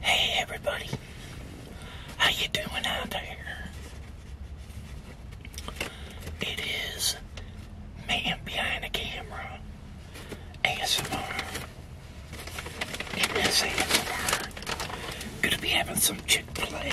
Hey everybody, how you doing out there? It is man behind the camera ASMR. In this ASMR, gonna be having some Chick Fil A.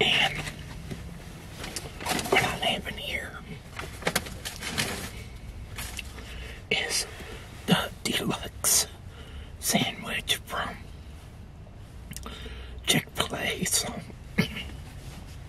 And what I live in here is the deluxe sandwich from Chick-fil-A.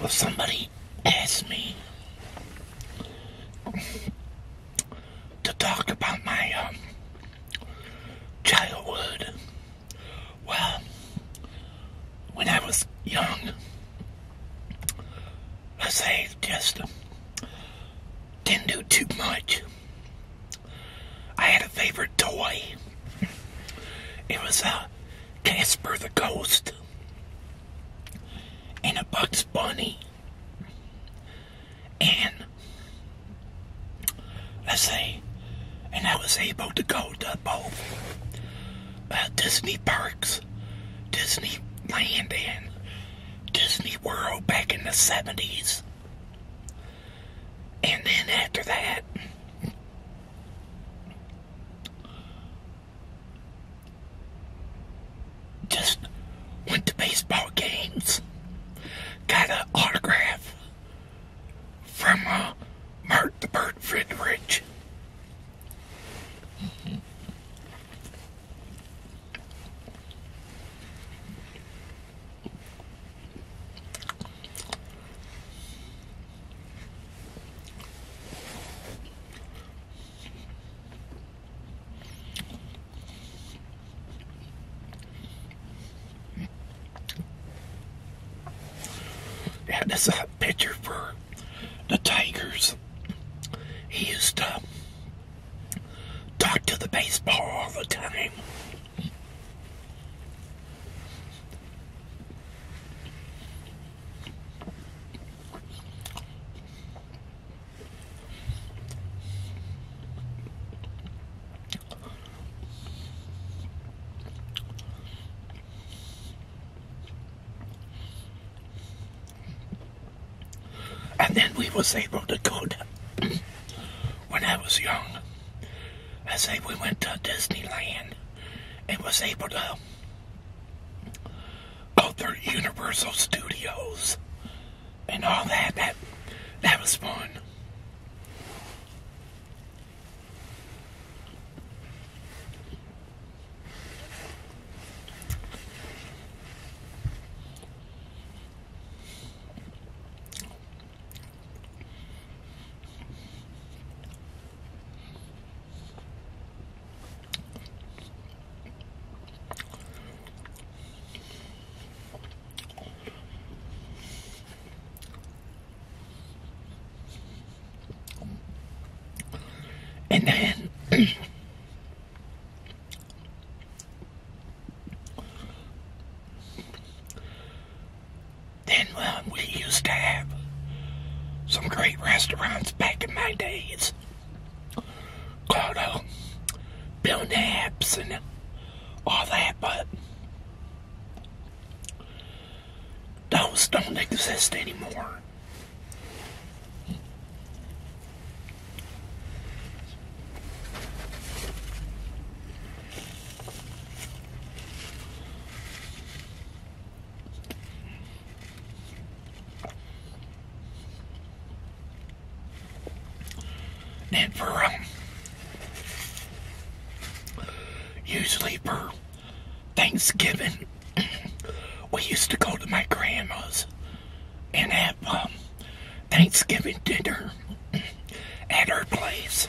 Well, somebody asked me to talk about my um, childhood. Well, when I was young, I us say just didn't do too much. I had a favorite toy. It was a Casper the Ghost and a box. Bunny. And let's say, and I was able to go to both uh, Disney parks, Disney Land, and Disney World back in the 70s. And then after that, just went to baseball games. Got an autograph from uh, Mark the Bird Friedrich. Yeah, that's a pitcher for the Tigers. He used to talk to the baseball all the time. And then we was able to go to, when I was young, I say we went to Disneyland and was able to oh, their Universal Studios and all that. That that was fun. And then then we used to have some great restaurants back in my days bands called uh, Bill Naps and all that, but those don't exist anymore. And for um, Thanksgiving, we used to go to my grandma's and have um, Thanksgiving dinner at her place.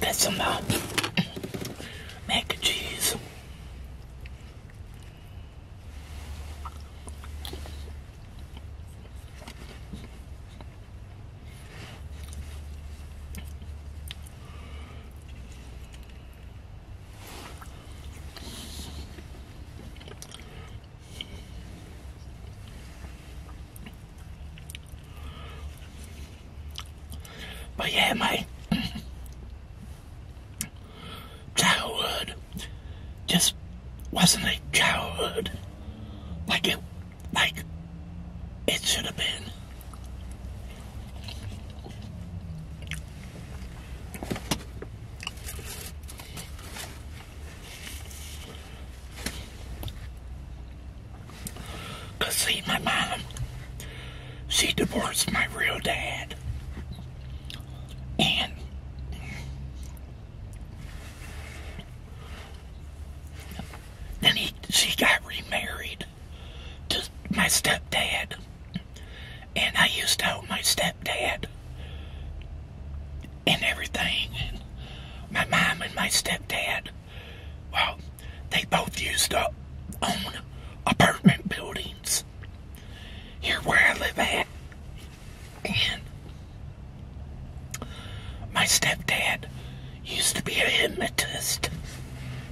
That's some uh, mac and cheese. But yeah, mate. childhood just wasn't a childhood like it like it should have been. Cause see, my mom, she divorced my real dad. And then he, she got remarried to my stepdad. And I used to help my stepdad and everything. my mom and my stepdad, well, they both used to own apartment buildings here where I live at. And my stepdad used to be a hypnotist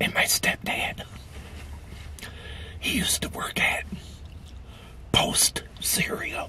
And my stepdad, he used to work at Post Cereal.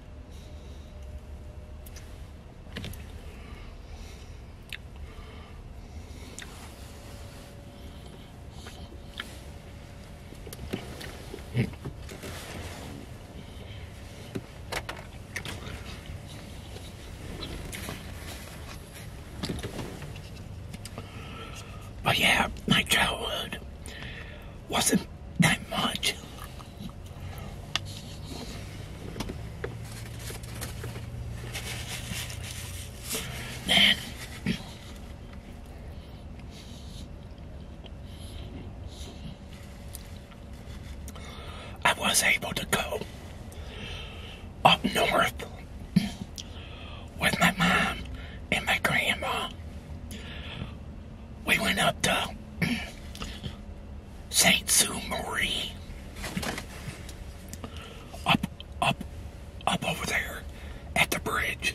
But oh, yeah, my childhood wasn't that much. Then I was able to go up north with my mom and my grandma we went up to Saint Sue Marie. Up up up over there at the bridge.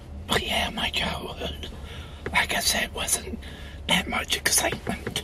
But yeah, my childhood, like I said, wasn't that much excitement.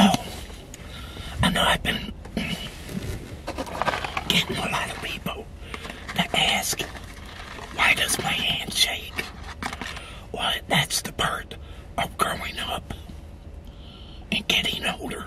Oh, I know I've been getting a lot of people that ask, why does my hand shake? Well, that's the part of growing up and getting older.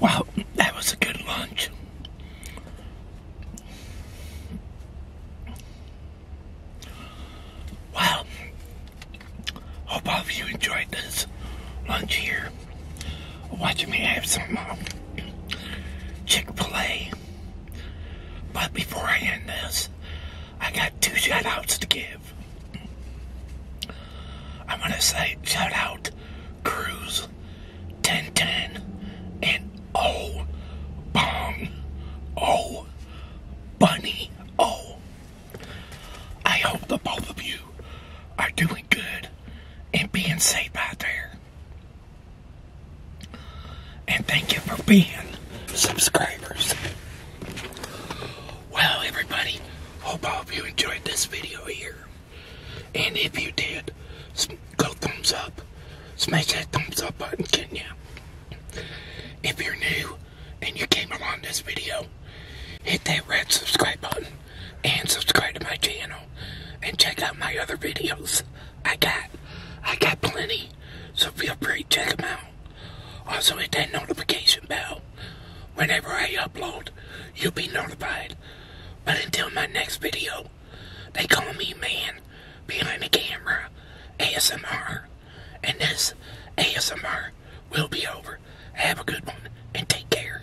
Wow, that was a good lunch. Wow, hope all of you enjoyed this lunch here. Watching me have some um, Chick-fil-A. But before I end this, I got two shout outs to give. I want to say shout out Cruz, Tintin, and Oh Bong, Oh Bunny, Oh. I hope the both of you are doing good and being safe out there. And thank you for being subscribers. Well, everybody, hope all of you enjoyed this video here. And if you did, go thumbs up. Smash that thumbs up button, can If you're new and you came along this video, hit that red subscribe button and subscribe to my channel and check out my other videos. I got, I got plenty, so feel free to check them out. Also hit that notification bell. Whenever I upload, you'll be notified. But until my next video, they call me man behind the camera, ASMR. And this ASMR will be over. Have a good one and take care.